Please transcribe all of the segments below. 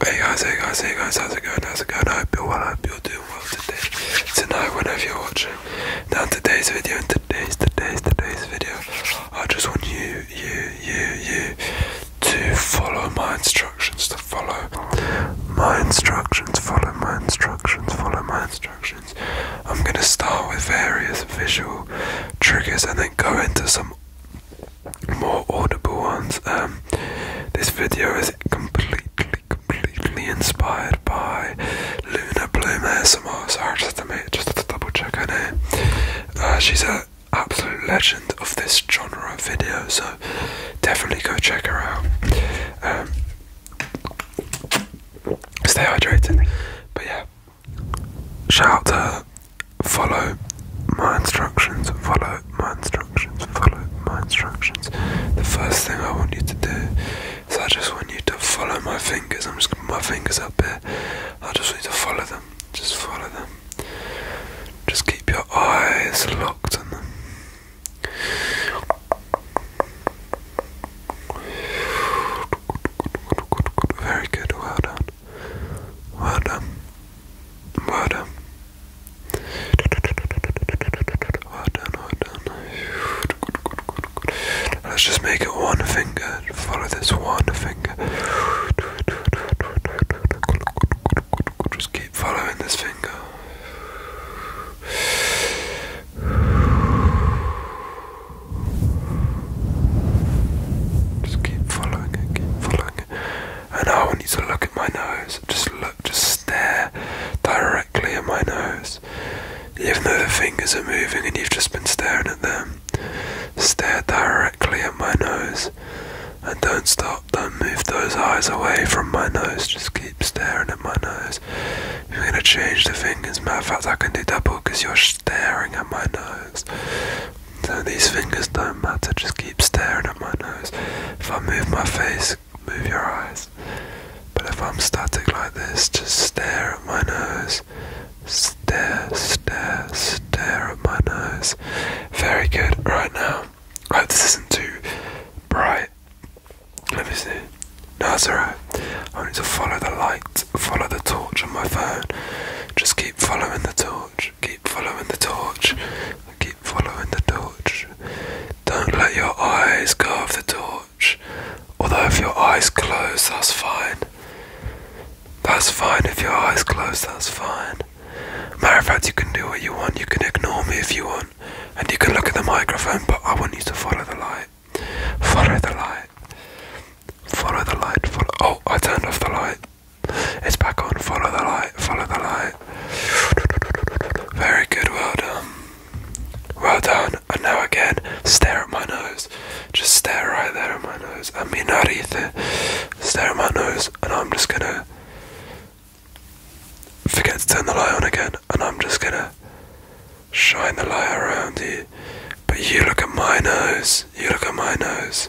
Hey guys, hey guys, hey guys, how's it going? How's it going? I hope you're well, I hope you're doing well today, tonight, whenever you're watching. Now today's video, today's, today's, today's video, I just want you, you, you, you to follow my instructions, to follow my instructions, follow my instructions, follow my instructions. I'm going to start with various visual triggers and then go into some more audible ones. Um, this video is completely, completely inspired by Luna Bloom ASMR. Sorry, just to make, just to double check her name. Uh, she's an absolute legend of this genre of video, so definitely go check her out. Um, stay hydrated, but yeah, shout out to Follow my instructions, follow my instructions, follow my instructions. The first thing I want you to do is I just want you to follow my fingers. I'm just my fingers up here. I just want you to follow them. Just follow them. Just keep your eyes locked on them. Very good, well done. Vada. Vada. Let's just make it one finger. Follow this one finger. Just keep following this finger. Just keep following keep following and now I want you to look at my nose. Just look, just stare directly at my nose. Even though the fingers are moving and you've just been staring at them, stare directly at my nose. And don't stop, don't move those eyes away from my nose. Just keep staring at my nose. You're going to change the fingers. Matter of fact, I can do double because you're staring at my nose. So these fingers don't matter, just keep staring at my nose. If I move my face, move your eyes. But if I'm static like this, just stare at my nose. Stare, stare, stare at my nose. Very good. Right now, I hope this isn't too bright. Let me see. No, that's alright. I need to follow the light, follow the torch on my phone. Just keep following the torch keep following the torch, keep following the torch. Don't let your eyes go of the torch. Although, if your eyes close, that's fine. That's fine if your eyes close, that's fine. Matter of fact, you can do what you want, you can ignore me if you want, and you can look at the microphone, but I want you to follow the light. Follow the light. Follow the light. Follow. Oh, I turned off the light. It's back on. Follow the light. Follow the light. Very good. Well done. Well done. And now again, stare at my nose. Just stare right there at my nose. I mean, not either. Stare at my nose, and I'm just gonna forget to turn the light on again, and I'm just gonna shine the light around you. But you look at my nose. You look at my nose.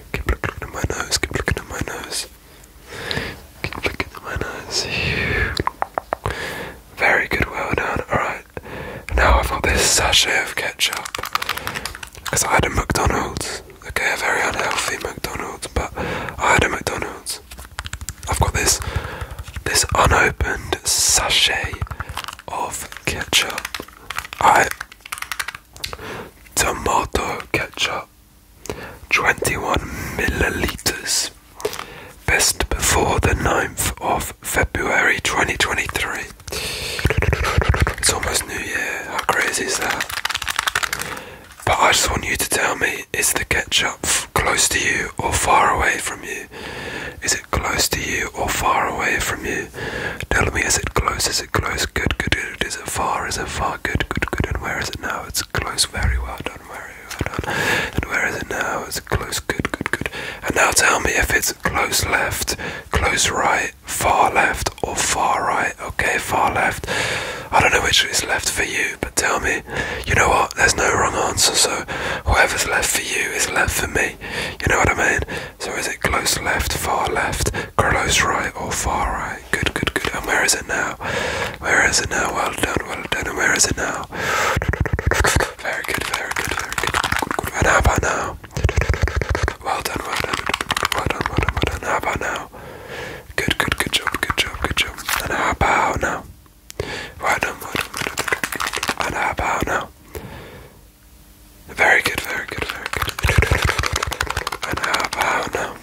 Keep looking at my nose, keep looking at my nose. Keep looking at my nose. Very good, well done. Alright, now I've got this sachet of ketchup. Because I had a McDonald's. Okay, a very unhealthy McDonald's, but I had a McDonald's. I've got this this unopened sachet of ketchup. I tomato ketchup 21 milliliters best before the 9th of February 2023 it's almost new year how crazy is that but I just want you to tell me is the ketchup close to you or far away from you is it close to you or far away from you Tell me, is it close? Is it close? Good, good, good. Is it far? Is it far? Good, good, good. And where is it now? It's close. Very well Don't worry, And where is it now? It's close. Good, good, good. And now tell me if it's close left, close right, far left, or far right. Okay, far left. I don't know which is left for you, but tell me. You know what? There's no wrong answer, so whoever's left for you is left for me. You know what I mean? So is it close left, far left, Carlos Wright or oh, Far Right. Good, good, good. And where is it now? Where is it now? Well done, well done. And where is it now? Very good, very good, very good. good, good. And how about now? Well done, well done, well done, well done, well done. How about now? Good, good, good job, good job, good job. And how about now? Well done, well done, well done. And how about now? Very good, very good, very good. And how about now?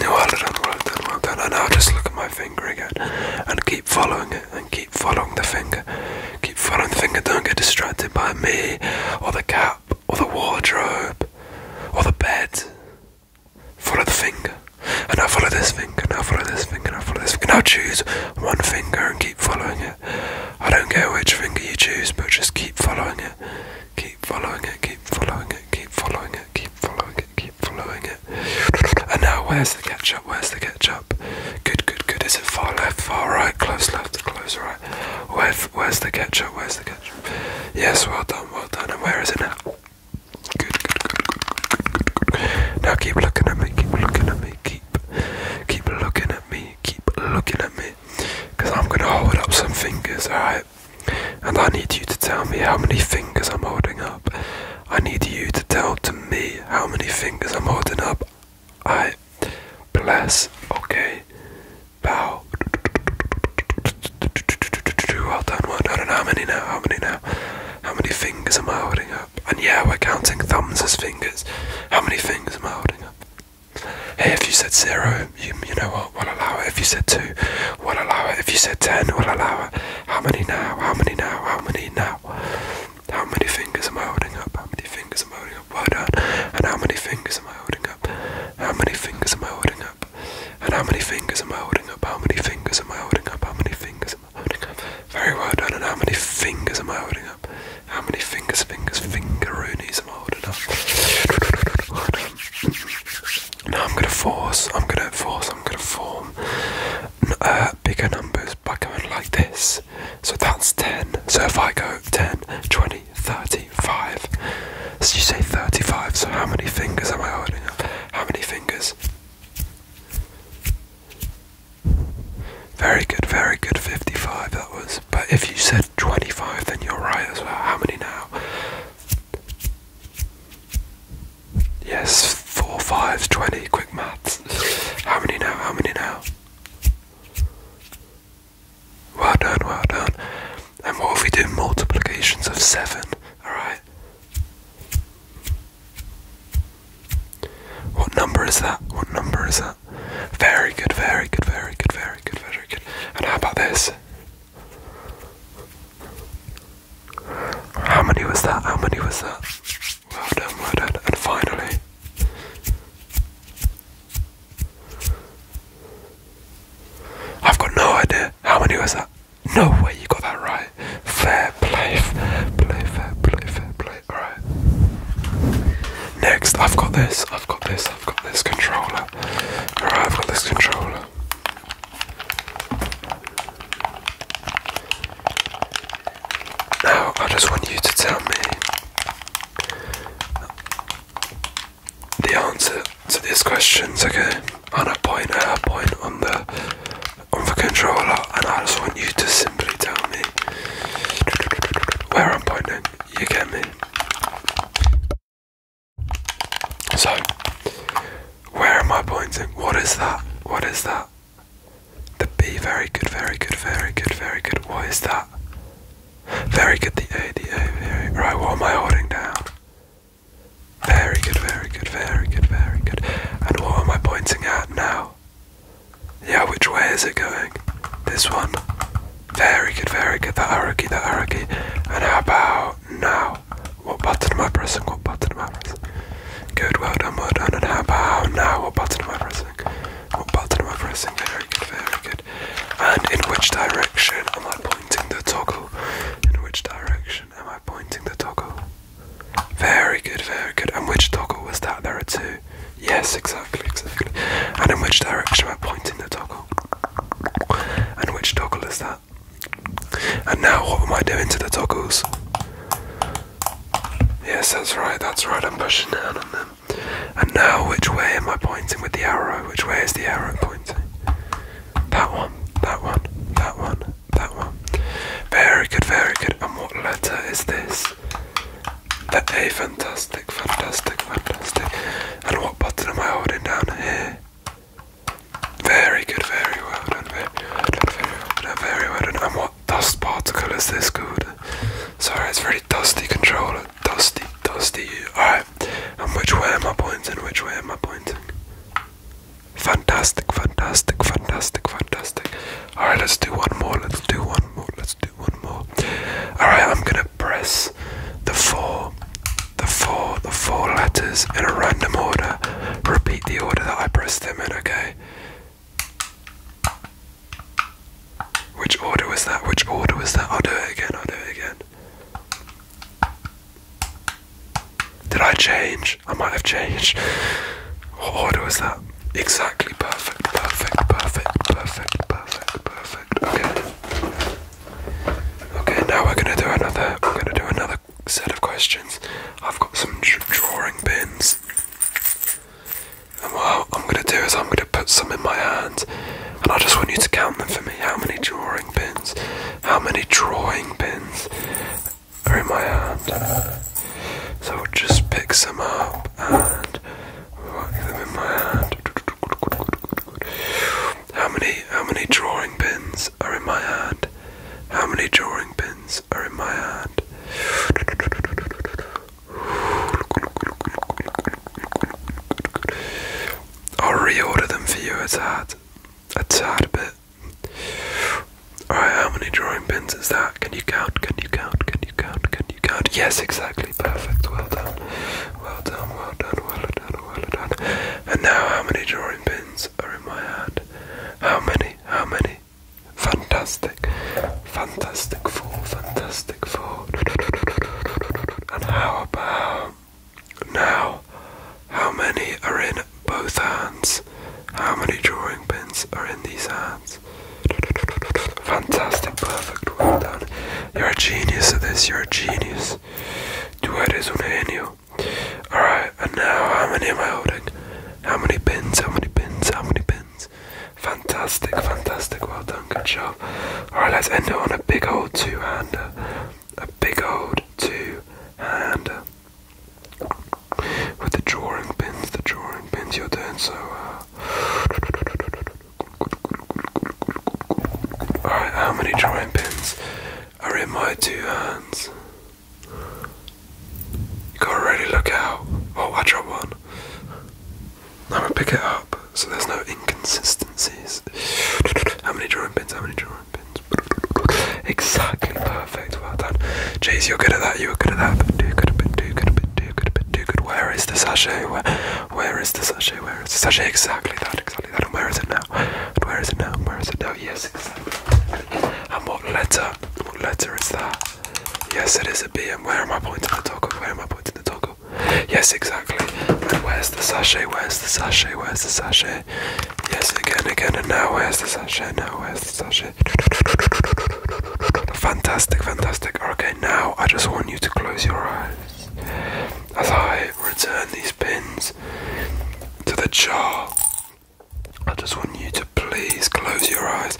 Well done, well done, well done. And now just look at my finger again. And keep following it, and keep following the finger. Keep following the finger, don't get distracted by me, or the cap, or the wardrobe, or the bed. Follow the finger. And now follow this finger, And now follow this finger, And now follow this finger. Now choose one finger and keep following it. I don't care which finger you choose, but just keep following it. Keep following it, keep following it, keep following it, keep following it, keep following it. And now, where's the catch up? Where's the catch up? Good, good, good. Is it far left, far right, close left, close right? Where, where's the catch up? Where's the catch up? Yes, well done, well done. And where is it now? good, good, good, good, good, good. Now keep looking at me, keep looking at me, keep, keep looking at me, keep looking at me because I'm going to hold up some fingers, alright? And I need you to tell me how many fingers I'm holding up. I need you to tell to me how many fingers I'm holding up. I bless, okay, bow. Well done, don't know how many now? How many now? How many fingers am I holding up? And yeah, we're counting thumbs as fingers. How many fingers am I holding up? Hey, if you said zero, you, know what, we'll allow it. If you said two, we'll allow it. If you said ten, we'll allow it. How many now? How many now? How many now? How many fingers am I holding up? How many fingers am I holding up? Well done. And how many fingers am I holding up? How many fingers am I holding up? And how many fingers am I holding up? How many fingers am I holding up? How many fingers am I holding up? Very well done. And how many fingers am I holding how many fingers, fingers, fingeroonies I'm holding up. now I'm gonna force, I'm gonna force, I'm gonna form uh, bigger numbers by going like this. So that's 10. So if I go 10, 20, 35. you say 35, so how many fingers am I holding up? How many fingers? Very good, very good. 55 that was. But if you said 25, then you're right as well. How many now? Yes, 4, 5, 20. Quick maths. How many now? How many now? Well done, well done. And what if we do multiplications of 7? Alright. What number is that? What number is that? that? Very good, very good, very good, very good, very good. And how about this? How many was that? How many was that? Well done, well done. And finally. I've got no idea. How many was that? No way you got that right. Fair play, fair play, fair play, fair play. Alright. Next, I've got this, I've got this, I've got this controller. Alright, I've got this controller. Now, I just want you to tell me the answer to these questions, okay? On a point, a point on the on the controller, and I just want you to simply tell me where I'm pointing. You get me? So, where am I pointing? What is that? What is that? The B, very good, very good, very good, very good. What is that? Very good, the A, the A, very. Right, what am I holding down? Very good, very good, very good, very good. And what am I pointing at now? Yeah, which way is it going? This one. Very good, very good. That arrow key, that arrow key. And how about now? What button am I pressing? What button am I pressing? Good, well done, well done. And how about now? What button am I pressing? What button am I pressing? Very good, very good. And in which direction am I pointing the toggle? In which direction am I pointing the toggle? Very good, very good. And which toggle was that? There are two. Yes, exactly, exactly. And in which direction am I pointing the toggle? And which toggle is that? And now what am I doing to the toggles? Yes, that's right, that's right, I'm pushing down on them. And now which way am I pointing with the arrow? Which way is the arrow pointing? That one, that one, that one, that one. Very good, very good. And what letter is this? That A, fantastic, fantastic, fantastic. And what button am I holding down here? Very good, very well done, very well done, very well done, And what dust particle is this called? Sorry, it's very dusty controller. Dusty, dusty. Alright, and which way am I pointing? Which way am I pointing? Fantastic, fantastic, fantastic, fantastic. Alright, let's do one more, let's do one more, let's do one more. Alright, I'm gonna press the four, the four, the four letters in a random order. Repeat the order that I pressed them in, okay? Which order was that? Which order was that? I'll do it again, I'll do it again. Did I change? I might have changed. What order was that? Exactly perfect, perfect, perfect, perfect, perfect, perfect. Okay. Okay, now we're gonna do another we're gonna do another set of questions. I've got some drawing pins. And what I'm gonna do is I'm gonna put some in my hand and I just want you to count them for me. How many drawing pins? How many drawing pins are in my hand? So I'll just pick some up and how many how many drawing pins are in my hand? How many drawing pins are in my hand? I'll reorder them for you a tad, a tad bit. Alright, how many drawing pins is that? Can you count? Can you count? Can you count? Can you count? Yes, exactly. Perfect. Well done. Well done. Well done. Well done. Well done. And now, how many drawing pins are in my hand? How many? How many? Fantastic. Fantastic four. Fantastic four. And how about now? How many are in both hands? How many drawing pins are in these hands? Fantastic, perfect, well done. You're a genius at this, you're a genius. Two eres un genio. Alright, and now how many am I holding? How many pins? How many pins? How many pins? Fantastic, fantastic, well done, good job. Alright, let's end it on a big old two hander. A big old two hander. With the drawing pins, the drawing pins, you're doing so well. Uh, Alright, how many drawing pins are in my two hands? You gotta really look out. Oh, I dropped one. I'm gonna pick it up so there's no inconsistencies. How many drawing pins? How many drawing pins? Exactly perfect. Well done. Jace, you're good at that. You are good at that. But do good a bit, do good a bit, do good a bit too good. Where is the sachet? Where, where is the sachet? Where is the sachet? Exactly that, exactly that. And where is it now? And where is it now? Where is it now? Yes, it is. And what letter? What letter is that? Yes, it is a B. And where am I pointing the toggle? Where am I pointing the toggle? Yes, exactly. where's the sachet? Where's the sachet? Where's the sachet? Yes, again, again. And now where's the sachet? Now where's the sachet? fantastic, fantastic. Okay now I just want you to close your eyes as I return these pins to the jar. I just want you to please close your eyes.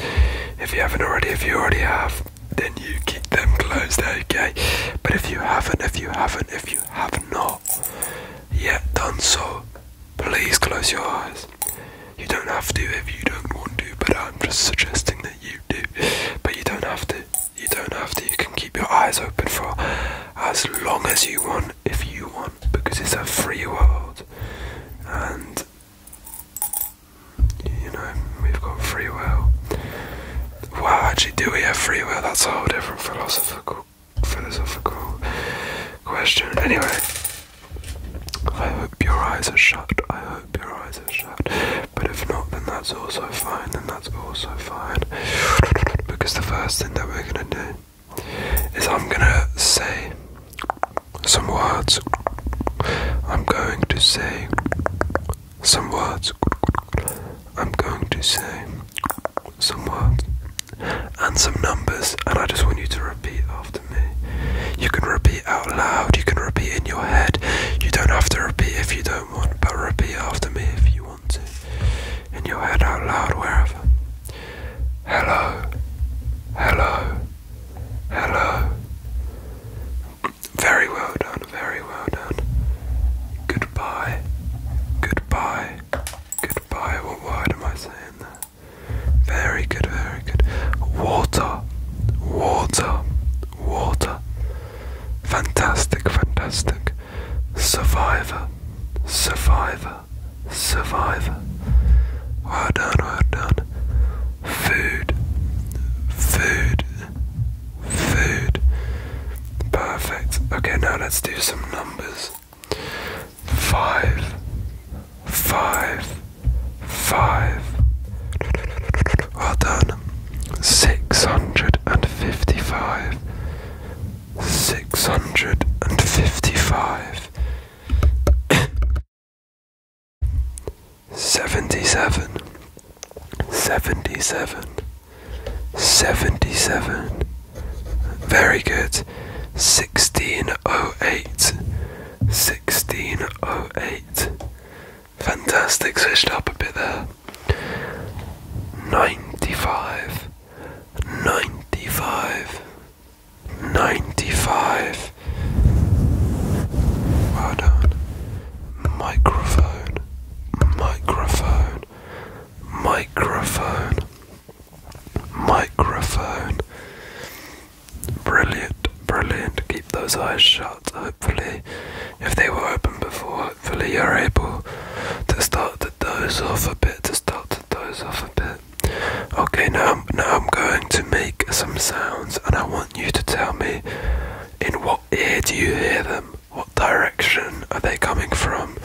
If you haven't already, if you already have, then you keep them closed, okay? But if you haven't, if you haven't, if you have not yet done so, please close your eyes. You don't have to if you don't want to, but I'm just suggesting this you do, but you don't have to. You don't have to. You can keep your eyes open for as long as you want, if you want, because it's a free world, and you know we've got free will. Well, actually, do we have free will? That's a whole different philosophical philosophical question. Anyway, I hope your eyes are shut. I hope but if not, then that's also fine, then that's also fine. Because the first thing that we're gonna do is I'm gonna say some words. I'm going to say some words. I'm going to say some words and some numbers, and I just want you to repeat after. You can repeat out loud, you can repeat in your head. You don't have to repeat if you don't want, but repeat after me if you want to. In your head, out loud, wherever. Hello, hello, hello. Very well done, very well done. Goodbye, goodbye, goodbye. What word am I saying there? Very good, very good. Water, water, water, fantastic, fantastic, survivor, survivor, survivor, well done, well done, food, food, food, perfect. Okay, now let's do some numbers. Five, five five. Well done. Six hundred and fifty five. Six hundred and fifty five. Seventy seven. Seventy seven. Seventy seven. Very good. Sixteen oh eight. Six 1608. Fantastic, switched up a bit there. 95, 95, 95. Microphone, microphone, microphone, microphone. Brilliant, brilliant. Keep those eyes shut. Hopefully, if they were open before, hopefully you're able to start to doze off a bit. To start to doze off a bit. Okay, now now I'm going to make some sounds, and I want you to tell me in what ear do you hear them? What direction are they coming from?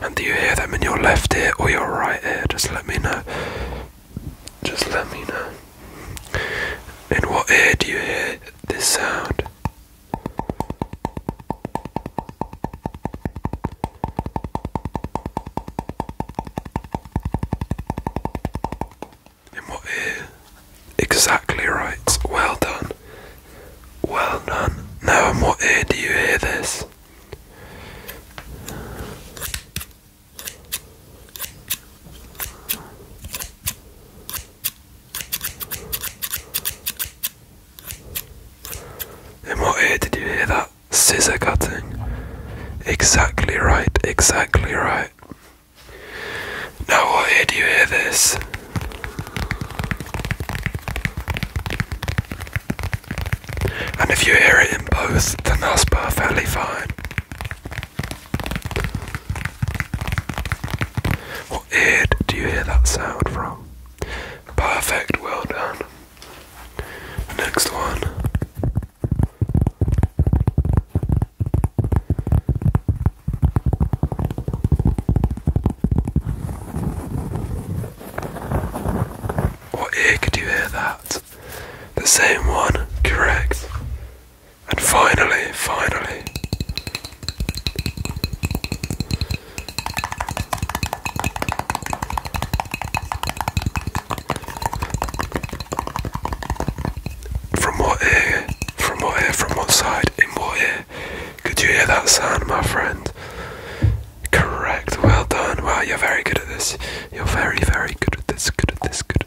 And do you hear them in your left ear or your right ear? Just let me know just let me know. In what ear do you hear this sound? In what ear? Exactly right. Well done. Well done. Now, in what ear do you hear this? And what ear did you hear that? Scissor cutting. Exactly right, exactly right. Now, what ear do you hear this? And if you hear it in both, then that's perfectly fine. What ear do you hear that sound from? Perfect, well done. Next one. What ear could you hear that? The same one, correct. And finally, finally, from what ear, from what ear, from what side, in what ear? Could you hear that sound, my friend? Correct, well done. Wow, you're very good at this. You're very, very good at this, good at this, good.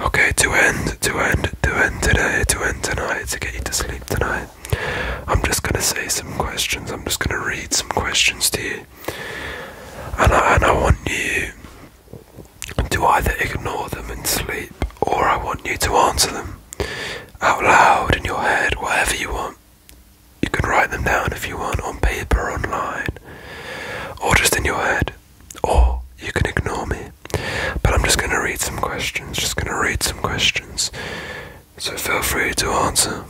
Okay, to end, to end, to end today, to end tonight, to get you to sleep tonight. I'm just gonna say some questions. I'm just gonna read some questions to you, and I, and I want you to either ignore them and sleep, or I want you to answer them out loud in your head, whatever you want. You can write them down if you want on paper, online, or just in your head, or you can ignore me. But I'm just going to read some questions, just going to read some questions. So feel free to answer.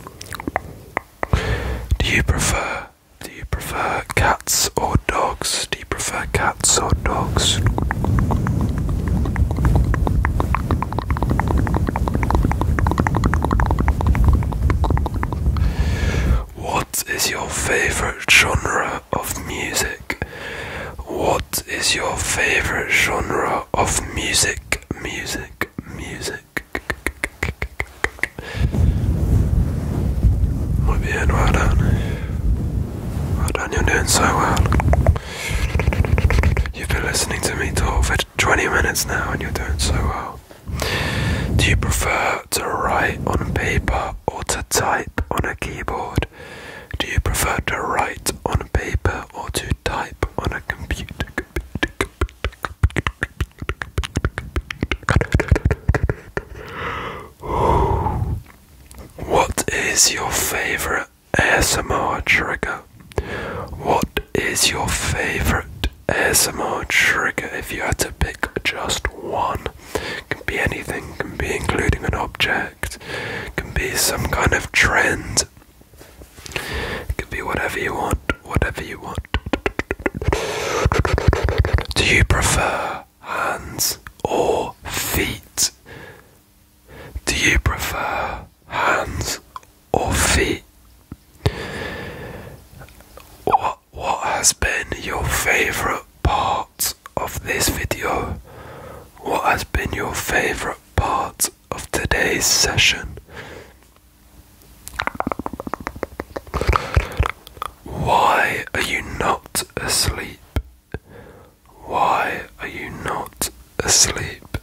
Do you prefer do you prefer cats or dogs? Do you prefer cats or dogs? What is your favorite genre of music? What is your favorite genre of music? Music, music. Muy bien, well done. Well done, you're doing so well. You've been listening to me talk for 20 minutes now and you're doing so well. Do you prefer to write on paper or to type on a keyboard? Do you prefer to write on paper or to type on a computer? What is your favorite ASMR trigger? What is your favorite ASMR trigger if you had to pick just one. Can be anything, can be including an object, can be some kind of trend. It can be whatever you want, whatever you want. Do you prefer hands or feet? Do you prefer hands Offie. What, what has been your favorite part of this video? What has been your favorite part of today's session? Why are you not asleep? Why are you not asleep?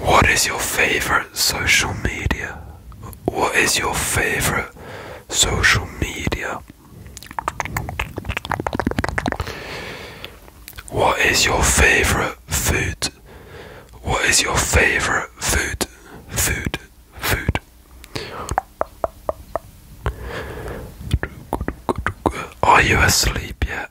What is your favorite social media? What is your favorite social media? What is your favorite food? What is your favorite food? Food, food. Are you asleep yet?